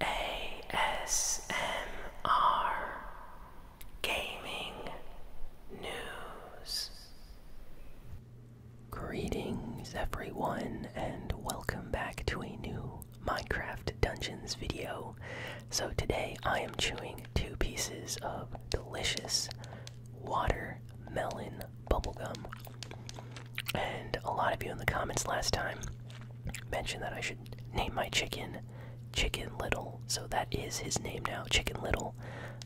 ASMR Gaming News. Greetings, everyone, and welcome back to a new Minecraft Dungeons video. So, today I am chewing two pieces of delicious watermelon bubblegum and a lot of you in the comments last time mentioned that I should name my chicken Chicken Little. So that is his name now, Chicken Little.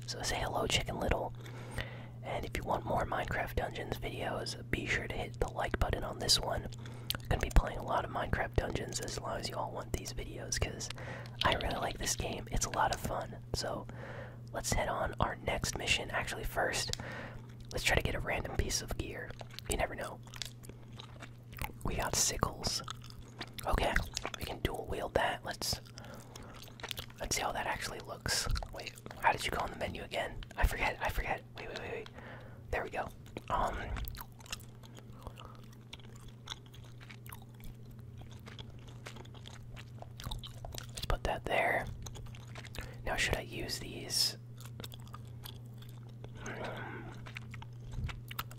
So say hello, Chicken Little. And if you want more Minecraft Dungeons videos, be sure to hit the like button on this one. I'm gonna be playing a lot of Minecraft Dungeons as long as you all want these videos, because I really like this game. It's a lot of fun. So let's head on our next mission. Actually, first, Let's try to get a random piece of gear. You never know. We got sickles. Okay, we can dual wield that. Let's let's see how that actually looks. Wait, how did you go on the menu again? I forget. I forget. Wait, wait, wait, wait. There we go. Um. Let's put that there. Now, should I use these?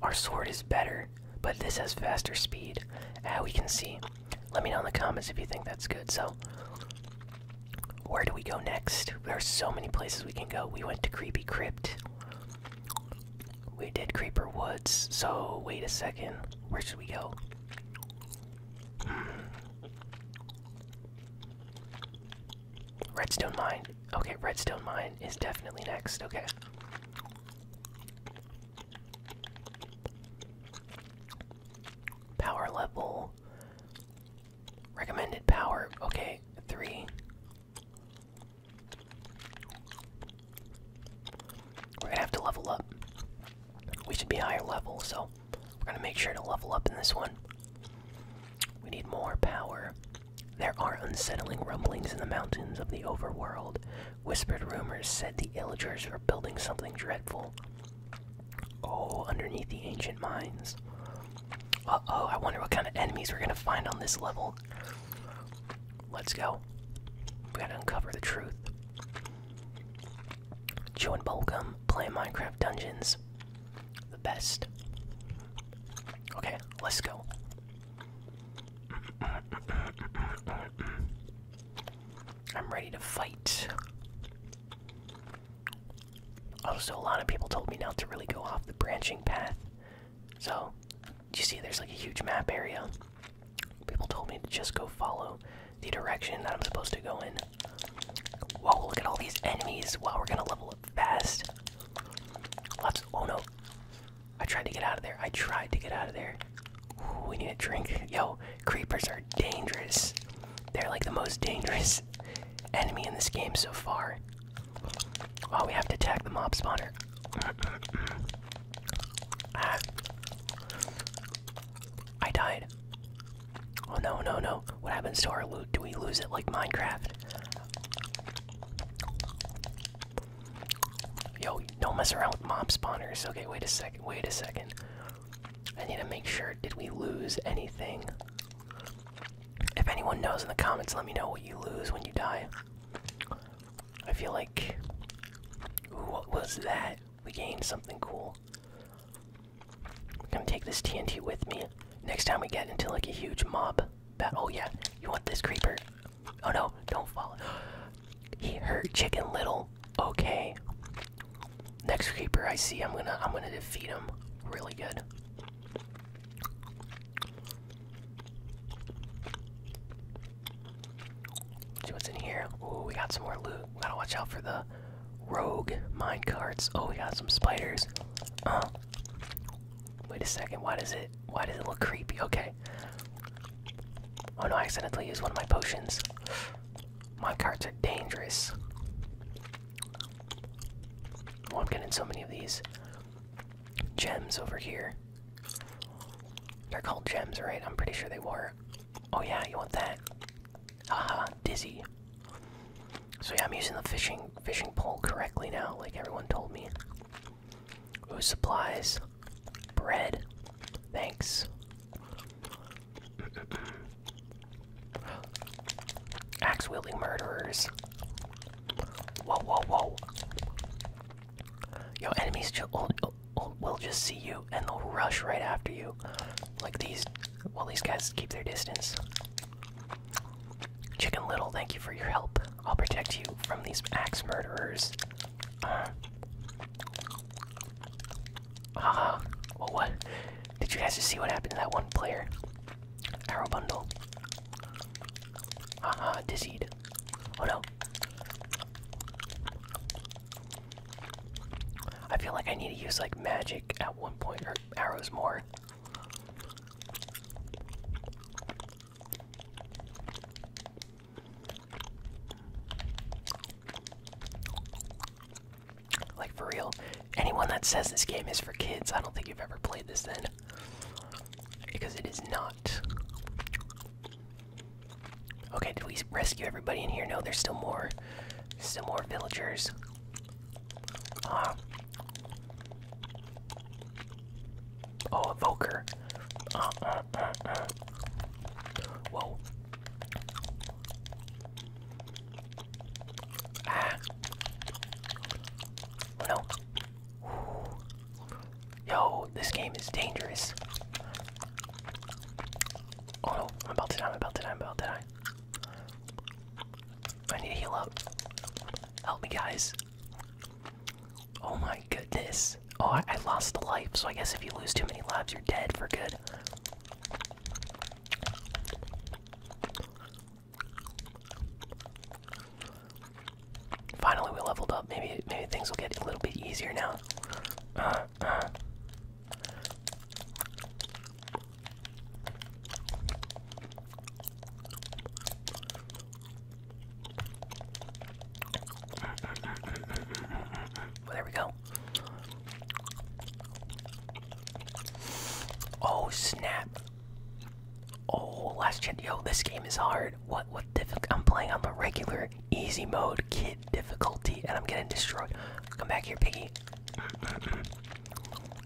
Our sword is better, but this has faster speed. As ah, we can see. Let me know in the comments if you think that's good. So, where do we go next? There are so many places we can go. We went to Creepy Crypt. We did Creeper Woods. So, wait a second. Where should we go? Hmm. Redstone mine. Okay, redstone mine is definitely next. Okay. Power level. Recommended power. Okay, three. We're gonna have to level up. We should be higher level, so we're going to make sure to level up in this one. We need more power. There are unsettling rumblings in the mountains of the overworld. Whispered rumors said the illagers are building something dreadful. Oh, underneath the ancient mines. Uh oh, I wonder what kind of enemies we're gonna find on this level. Let's go. We gotta uncover the truth chewing bubblegum, playing Minecraft Dungeons. The best. Okay, let's go. I'm ready to fight. Also, a lot of people told me not to really go off the branching path. So, you see, there's like a huge map area. People told me to just go follow the direction that I'm supposed to go in. Whoa, look at all these enemies. Wow, we're gonna level up fast. Oh no. I tried to get out of there. I tried to get out of there. we need a drink. Yo, creepers are dangerous. They're like the most dangerous enemy in this game so far. Wow, we have to attack the mob spawner. Ah. I died. Oh no, no, no. What happens to our loot? Do we lose it like Minecraft? Yo, don't mess around with mob spawners. Okay, wait a second, wait a second. I need to make sure, did we lose anything? If anyone knows in the comments, let me know what you lose when you die. I feel like. what was that? We gained something cool. I'm gonna take this TNT with me. Next time we get into like a huge mob battle. Oh yeah, you want this creeper? Oh no, don't fall. he hurt Chicken Little. Okay. Next creeper I see, I'm gonna I'm gonna defeat him. Really good. what's in here. Ooh, we got some more loot. Gotta watch out for the Rogue mine carts. Oh, we got some spiders. Oh, wait a second. Why does it? Why does it look creepy? Okay. Oh no! I accidentally used one of my potions. carts are dangerous. Oh, I'm getting so many of these gems over here. They're called gems, right? I'm pretty sure they were. Oh yeah, you want that? Haha, dizzy. So yeah, I'm using the fishing fishing pole correctly now, like everyone told me. Ooh, supplies. Bread. Thanks. Axe wielding murderers. Whoa, whoa, whoa. Yo, enemies oh, oh, oh, will just see you and they'll rush right after you. Like these well, these guys keep their distance. Chicken Little, thank you for your help. I'll protect you from these axe murderers. Uh, well, uh, oh, what? Did you guys just see what happened to that one player? Arrow bundle. Haha, uh, uh Oh no. I feel like I need to use like magic at one point or arrows more. Like for real, anyone that says this game is for kids, I don't think you've ever played this then. Because it is not. Okay, did we rescue everybody in here? No, there's still more. Some more villagers. Uh, oh, a uh, uh, Whoa. Oh no. Yo, this game is dangerous. Oh no, I'm about I'm about to die, I'm about to die. I need to heal up. Help me, guys. Oh my goodness. Oh, I, lost a life, so I guess if you lose too many lives, you're dead for good. Finally, we leveled up. Maybe maybe things will get a little bit easier now. Uh, there we go. Oh snap! Oh, last chance. Yo, this game is hard. What? What? I'm playing on the regular easy mode, kid difficulty, and I'm getting destroyed. Come back here, piggy.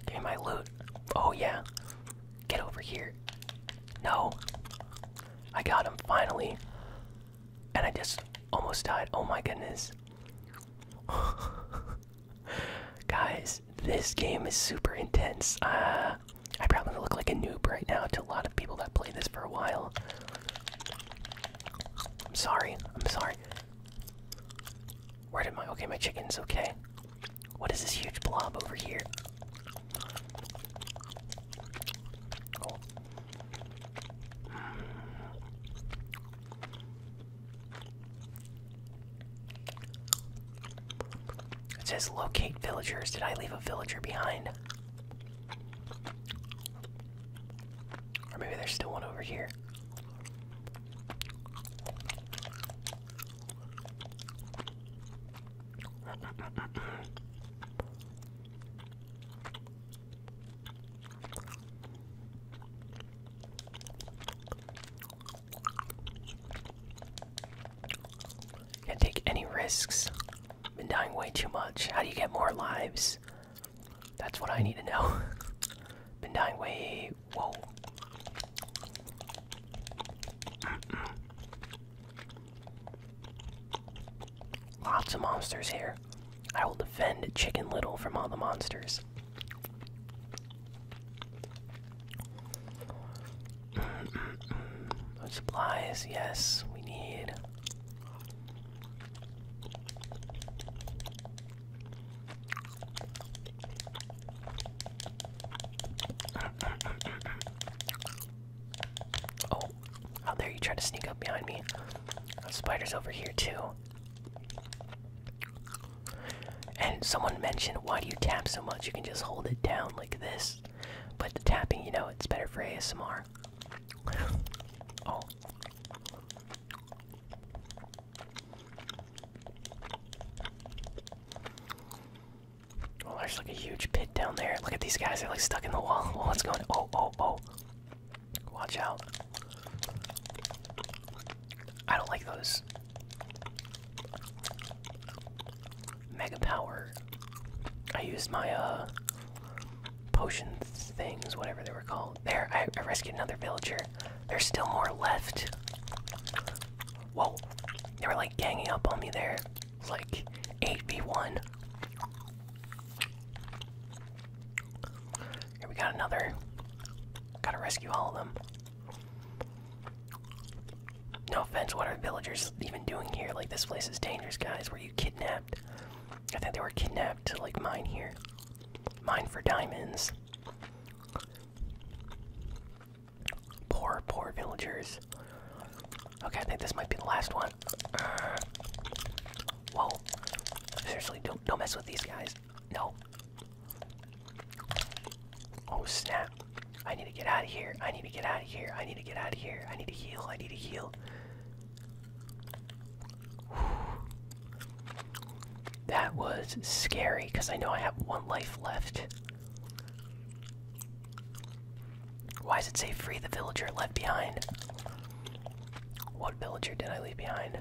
Give my loot. Oh, yeah. Get over here. No. I got him finally. And I just almost died. Oh my goodness. Guys, this game is super intense. Uh, I probably look like a noob right now to a lot of people that play this for a while. I'm sorry. I'm sorry. Where did my. Okay, my chicken's okay. What is this huge blob over here? It says locate villagers. Did I leave a villager behind? Or maybe there's still one over here. Can't take any risks. Been dying way too much. How do you get more lives? That's what I need to know. Been dying way. Whoa. Lots of monsters here. I will defend Chicken Little from all the monsters. Supplies, yes, we need. Oh, how dare you try to sneak up behind me? spider's over here too. And someone mentioned, why do you tap so much? You can just hold it down like this. But the tapping, you know, it's better for ASMR. oh. Oh, there's like a huge pit down there. Look at these guys, they're like stuck in the wall. Oh, what's going on? Oh, oh, oh. Watch out. I don't like those. Mega power. I used my, uh, potions things, whatever they were called. There, I, rescued another villager. There's still more left. Whoa, they were like ganging up on me there. It's like 8v1. Here we got another. Gotta rescue all of them. No offense, what are villagers even doing here? Like, this place is dangerous, guys. Were you kidnapped? I think they were kidnapped to, like, mine here. Mine for diamonds. Poor, poor villagers. Okay, I think this might be the last one. Uh, whoa. Seriously, don't, don't mess with these guys. No. Oh, snap. I need to get out of here. I need to get out of here. I need to get out of here. I need to heal. I need to heal. That was scary because I know I have one life left. Why does it say free the villager left behind? What villager did I leave behind?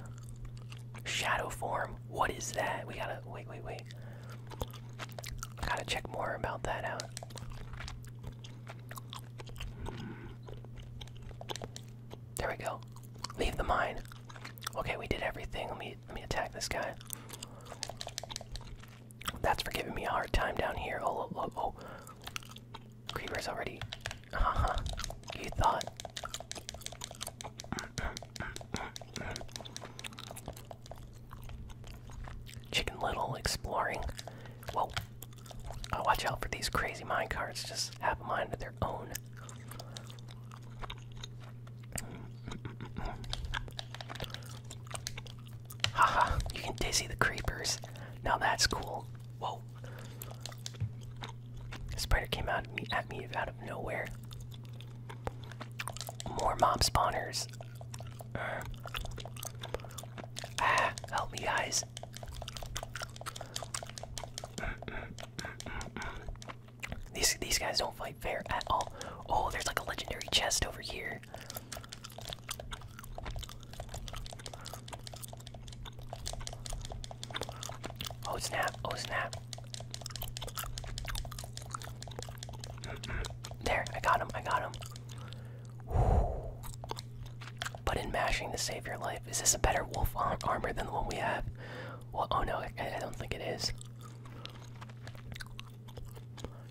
Shadow form. What is that? We gotta wait, wait, wait. gotta check more about that out. There we go. Leave the mine. Okay, we did everything. Let me let me attack this guy. That's for giving me a hard time down here. Oh, oh, oh. oh. Creeper's already. Haha. Uh -huh. You thought. Chicken Little exploring. Whoa! Oh, watch out for these crazy mine carts. Just have a mind of their own. Haha! you can dizzy the creepers. Now that's cool. Whoa! The spider came out at me, at me out of nowhere. More mob spawners. Uh, ah, help me, guys. These these guys don't fight fair at all. Oh, there's like a legendary chest over here. Oh snap! Oh snap! There, I got him! I got him! But in mashing to save your life, is this a better wolf armor than the one we have? Well, oh no, I, don't think it is.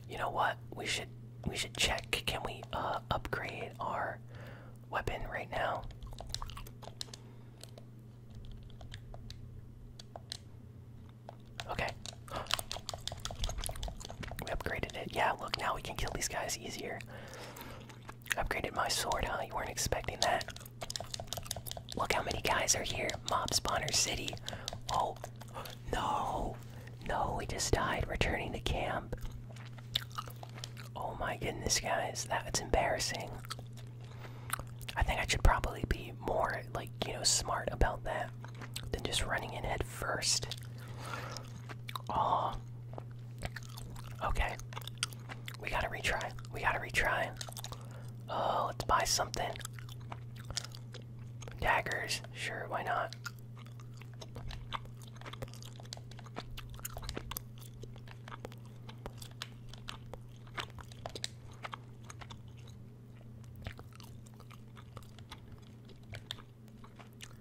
You know what? We should we should check. Can we uh, upgrade our weapon right now? Okay. We upgraded it. Yeah, look, now we can kill these guys easier. Upgraded my sword, huh? You weren't expecting that. Look how many guys are here. Mob spawner city. Oh, no. No, we just died. Returning to camp. Oh my goodness, guys. That's embarrassing. I think I should probably be more, like, you know, smart about that than just running in head first. Oh. Okay. We gotta retry. We gotta retry. Oh, let's buy something. Daggers. Sure, why not?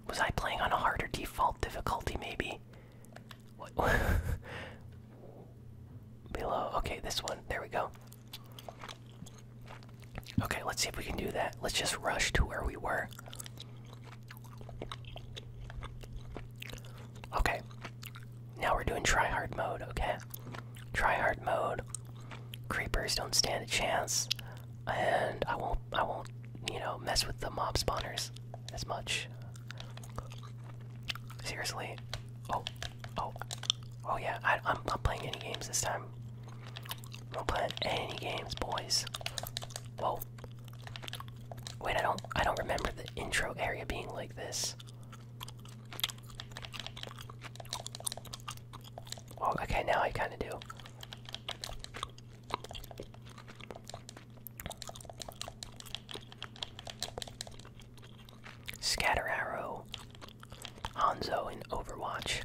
Was I playing on a harder default difficulty, maybe? Below. Okay, this one. There we go. Okay, let's see if we can do that. Let's just rush to where we were. Okay. Now we're doing try hard mode, okay? Try hard mode. Creepers don't stand a chance and I won't I won't you know mess with the mob spawners as much. Seriously, oh oh oh yeah, I, am not playing any games this time. I'm not playing any games, boys. Whoa. Wait, I don't I don't remember the intro area being like this. Oh, okay, now I kind of do. Scatter Arrow, Hanzo in Overwatch.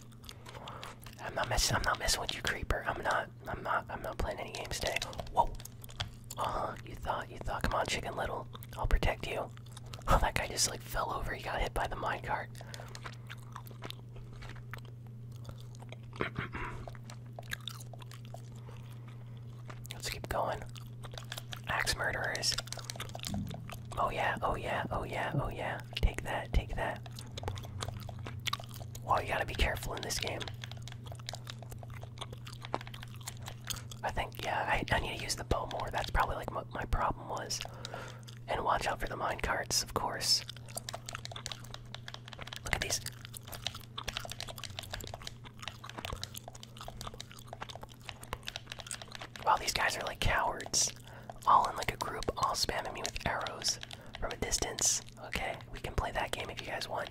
I'm not messing. I'm not messing with you, creeper. I'm not. I'm not. I'm not playing any games today. Whoa. Uh huh. You thought. You thought. Come on, Chicken Little. I'll protect you. Oh, that guy just like fell over. He got hit by the minecart. Let's keep going. Axe murderers. Oh yeah, oh yeah, oh yeah, oh yeah. Take that, take that. Oh, you gotta be careful in this game. I think, yeah, I, I need to use the bow more. That's probably like what my problem was. And watch out for the mine carts, of course. Look at these. Wow, these guys are like cowards. All in like a group, all spamming me with arrows from a distance. Okay, we can play that game if you guys want.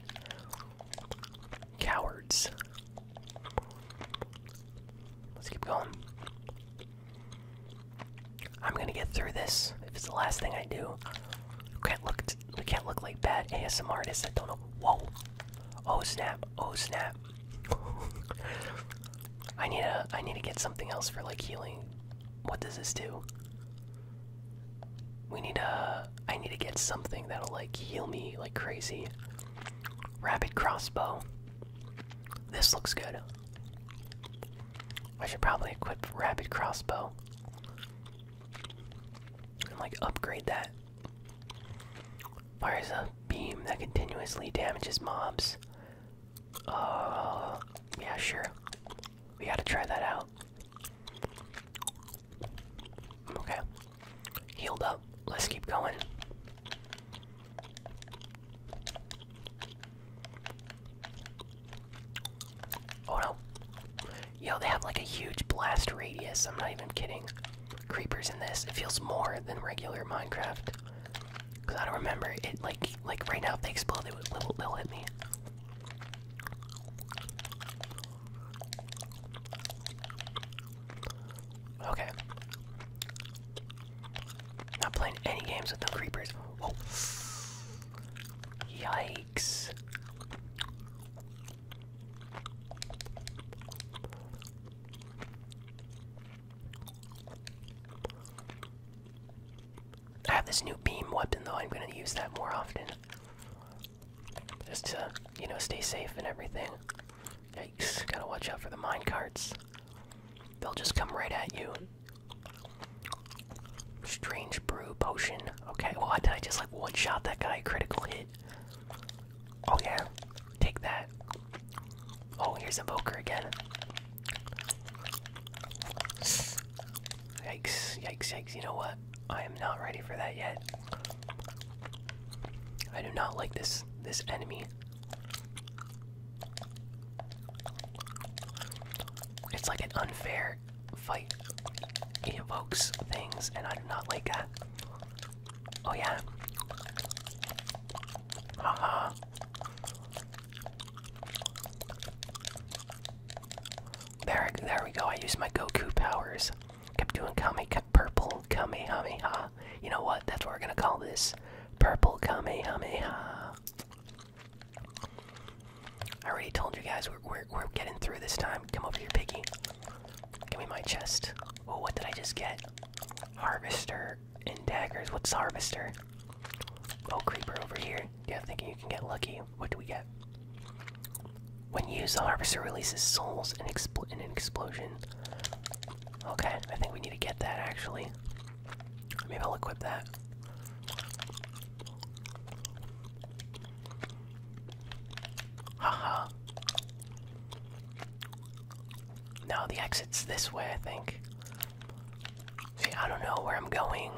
Cowards. Let's keep going. I'm gonna get through this. If it's the last thing I do, can't look. We can't look like bad ASM artists. I don't know. Whoa! Oh snap! Oh snap! I need a. I need to get something else for like healing. What does this do? We need a. I need to get something that'll like heal me like crazy. Rapid crossbow. This looks good. I should probably equip rapid crossbow like upgrade that. Fires a beam that continuously damages mobs. Uh, yeah, sure. We gotta try that out. Okay. Healed up. Let's keep going. Oh no. Yo, they have like a huge blast radius. I'm not even kidding. Creepers in this. It feels more than regular Minecraft. Cause I don't remember it like like right now if they explode they will they'll hit me. Okay. Not playing any games with the creepers. Yikes. I have this new beam weapon though, I'm gonna use that more often. Just to, you know, stay safe and everything. Yikes, gotta watch out for the mine carts. They'll just come right at you. Strange brew potion. Okay, well, did I just like one shot that guy? Critical hit. Oh, yeah. Take that. Oh, here's a Evoker again. Yikes, yikes, yikes. You know what? I am not ready for that yet. I do not like this this enemy. It's like an unfair fight he evokes things, and I do not like that. Oh yeah. Uh -huh. There, there we go. I use my Goku powers. Keep doing Kame, kept purple Kamehameha. You know what? That's what we're gonna call this. Purple ha. I already told you guys we're, we're, getting through this time. Come over here, piggy. Give me my chest. Oh, what did I just get? Harvester and daggers. What's harvester? Oh, creeper over here. Yeah, thinking you can get lucky. What do we get? When you use the harvester releases souls in, expl in an explosion. Okay, I think we need to get that actually. Maybe I'll equip that. Haha. -ha. the exit's this way, I think. See, I don't know where I'm going.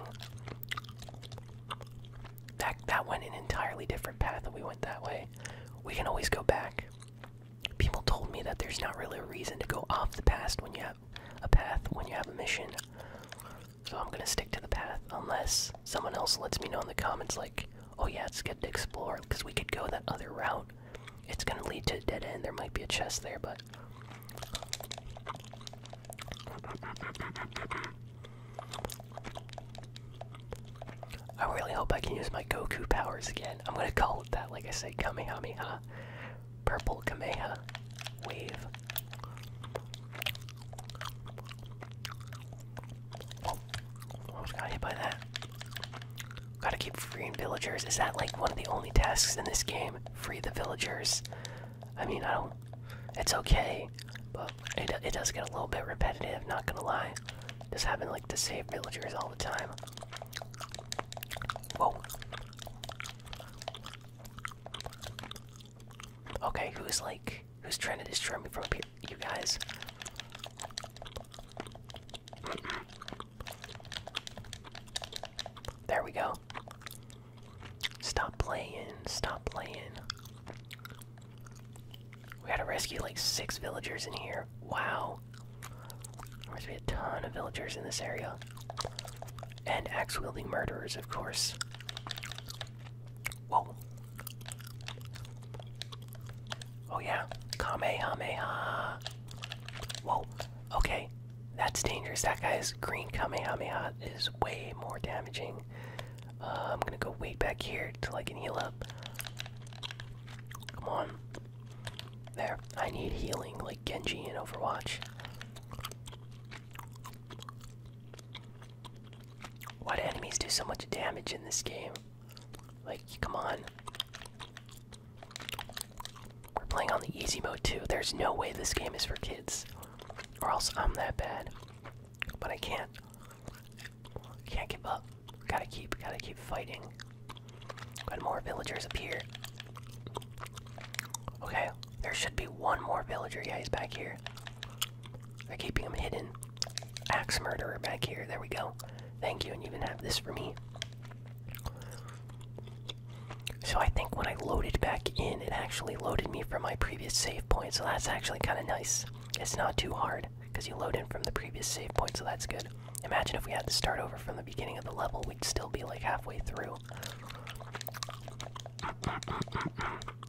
That that went an entirely different path and we went that way. We can always go back. People told me that there's not really a reason to go off the past when you have a path when you have a mission. So I'm gonna stick to the path unless someone else lets me know in the comments, like, oh yeah, it's good to explore because we could go that other route. It's gonna lead to a dead end. There might be a chest there, but. I really hope I can use my Goku powers again. I'm gonna call it that, like I said, Kamehameha. Purple Kameha wave. Oh, almost got hit by that. Gotta keep freeing villagers. Is that like one of the only tasks in this game? Free the villagers. I mean, I don't. It's okay, but it, it does get a little bit repetitive, not gonna lie. Just having like to save villagers all the time. Whoa. Okay, who's like who's trying to destroy me from up here? You guys. There we go. Stop playing, stop playing. We gotta rescue like six villagers in here. Wow. There's be a ton of villagers in this area and axe wielding murderers, of course. Whoa. Oh, yeah. Kamehameha. Whoa. Okay. That's dangerous. That guy's green Kamehameha is way more damaging. Uh, I'm gonna go way back here till I can heal up. Come on. There. I need healing like Genji in Overwatch. Why do enemies do so much damage in this game? Like, come on. We're playing on the easy mode too. There's no way this game is for kids. Or else I'm that bad. But I can't. Can't give up. Gotta keep, gotta keep fighting. Got more villagers up here. Okay, there should be one more villager. Yeah, he's back here. They're keeping him hidden. Axe murderer back here. There we go. Thank you, and you even have this for me. So I think when I loaded back in, it actually loaded me from my previous save point, so that's actually kind of nice. It's not too hard, because you load in from the previous save point, so that's good. Imagine if we had to start over from the beginning of the level, we'd still be like halfway through.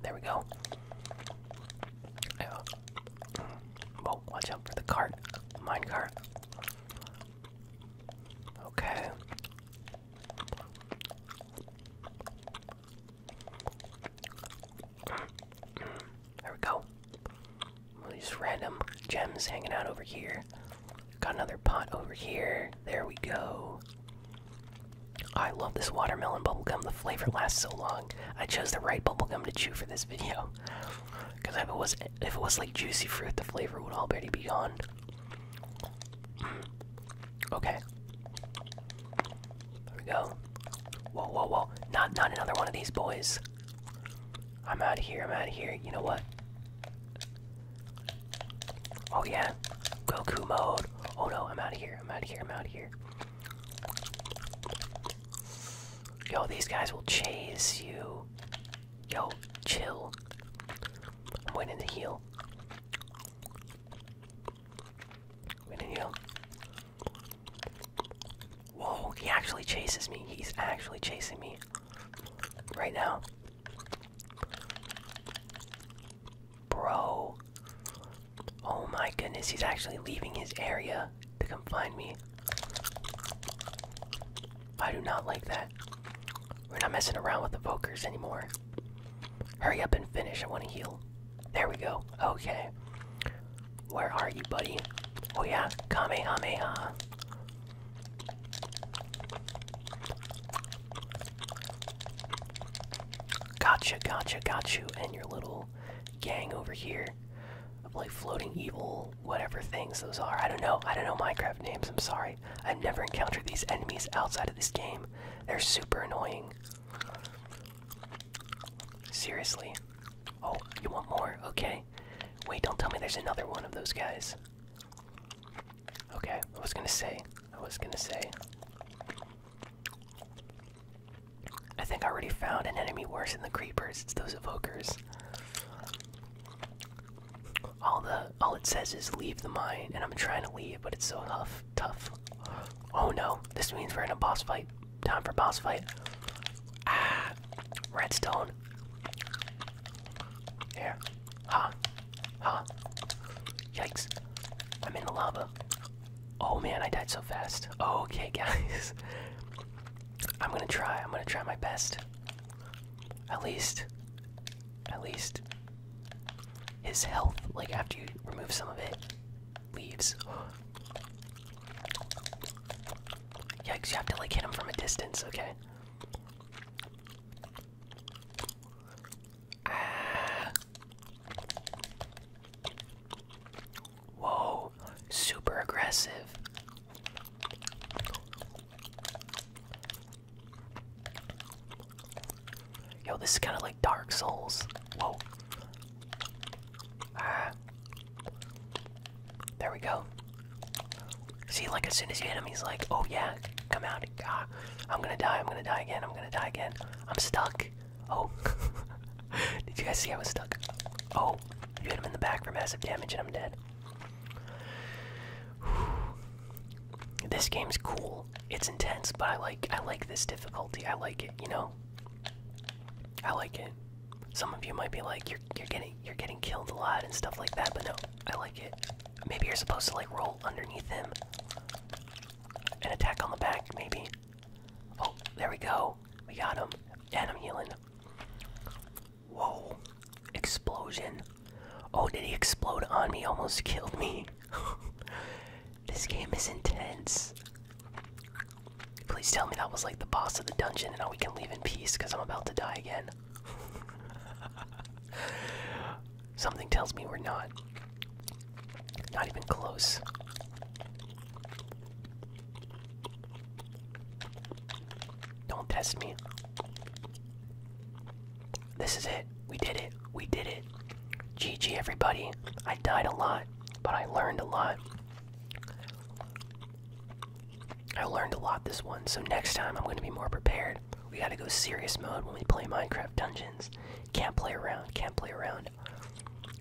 There we go. Yeah. watch out for the cart. Mine cart. Okay. There we go. All these random gems hanging out over here. Got another pot over here. There we go. I love this watermelon bubblegum. The flavor lasts so long. I chose the right bubblegum to chew for this video. Cause if it was if it was like juicy fruit, the flavor would already be gone. Okay. There we go. Whoa, whoa, whoa. Not not another one of these boys. I'm out of here, I'm out of here. You know what? Oh yeah, Goku mode. Oh no, I'm out of here. I'm out of here. I'm out of here. Yo, these guys will chase you. Yo, chill. I'm waiting to heal. Waiting to heal. Whoa, he actually chases me. He's actually chasing me right now. Bro. Oh my goodness, he's actually leaving his area to come find me. I do not like that. We're not messing around with the Vokers anymore. Hurry up and finish. I want to heal. There we go. Okay. Where are you, buddy? Oh, yeah. Kamehameha. Gotcha, gotcha, gotcha, and your little gang over here of like floating evil, whatever things those are. I don't know. I don't know Minecraft names. I'm sorry. I've never encountered these enemies outside of this game. They're super annoying. Seriously. Oh, you want more? Okay. Wait, don't tell me there's another one of those guys. Okay, I was gonna say, I was gonna say. I think I already found an enemy worse than the creepers. It's those evokers. All the all it says is leave the mine, and I'm trying to leave, but it's so tough. Tough. Oh no! This means we're in a boss fight. Time for boss fight. Ah, redstone. There. Ha. Ha. Yikes. I'm in the lava. Oh man, I died so fast. Okay, guys. I'm gonna try. I'm gonna try my best. At least. At least. His health, like after you remove some of it, leaves. Yikes, you have to like hit him from a distance, okay? Whoa, super aggressive. Yo, this is kind of like Dark Souls. Whoa. Ah. There we go. See, like as soon as you hit him, he's like, "Oh yeah, come out! Ah, I'm gonna die! I'm gonna die again! I'm gonna die again! I'm stuck!" Oh, did you guys see I was stuck? Oh, you hit him in the back for massive damage, and I'm dead. This game's cool. It's intense, but I like I like this difficulty. I like it, you know. I like it. Some of you might be like, "You're you're getting you're getting killed a lot and stuff like that," but no, I like it. Maybe you're supposed to like roll underneath him and attack on the back, maybe. Oh, there we go. We got him. And I'm healing. Whoa. Explosion. Oh, did he explode on me? Almost killed me. this game is intense. Please tell me that was like the boss of the dungeon and now we can leave in peace because I'm about to die again. Something tells me we're not. Not even close. Don't test me. This is it. We did it. We did it. GG, everybody. I died a lot, but I learned a lot. I learned a lot this one, so next time I'm going to be more prepared. We got to go serious mode when we play Minecraft Dungeons. Can't play around, can't play around.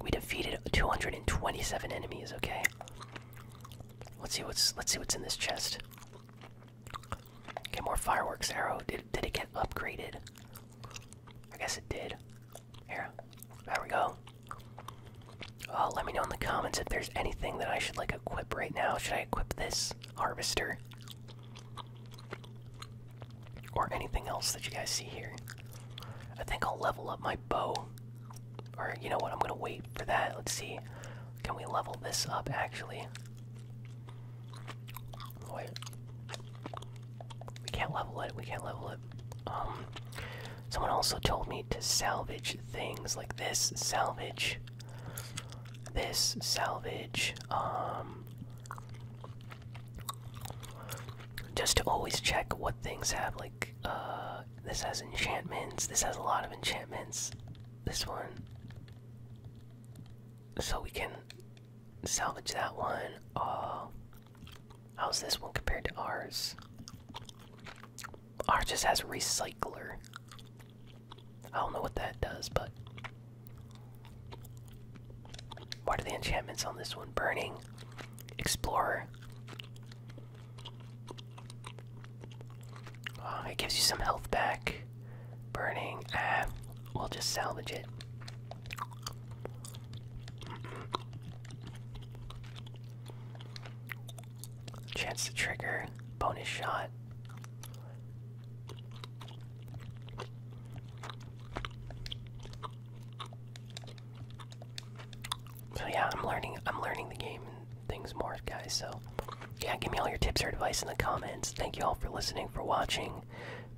We defeated 227 enemies, okay? Let's see what's let's see what's in this chest. Get more fireworks arrow. Did did it get upgraded? I guess it did. Here. There we go. Uh, let me know in the comments if there's anything that I should like equip right now. Should I equip this? harvester or anything else that you guys see here. I think I'll level up my bow. Or you know what? I'm going to wait for that. Let's see. Can we level this up actually? Wait. We can't level it. We can't level it. Um someone also told me to salvage things like this salvage this salvage um just to always check what things have like uh this has enchantments this has a lot of enchantments this one so we can salvage that one uh how's this one compared to ours ours just has recycler I don't know what that does, but what are the enchantments on this one? Burning, explorer. Oh, ah, it gives you some health back. Burning. Ah, we'll just salvage it. Chance to trigger, bonus shot. So yeah, I'm learning I'm learning the game and things more, guys. So yeah, give me all your tips or advice in the comments. Thank you all for listening, for watching.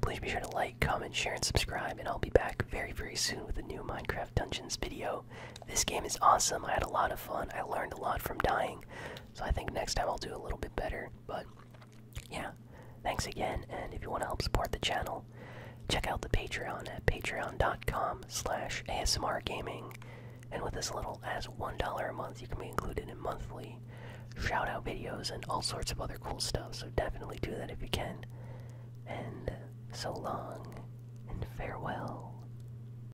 Please be sure to like, comment, share, and subscribe, and I'll be back very, very soon with a new Minecraft Dungeons video. This game is awesome. I had a lot of fun. I learned a lot from dying. So I think next time I'll do a little bit better. But yeah, thanks again. And if you want to help support the channel, check out the Patreon at patreon.com/slash ASMR gaming. And with as little as $1 a month, you can be included in monthly shout out videos and all sorts of other cool stuff. So definitely do that if you can. And so long and farewell.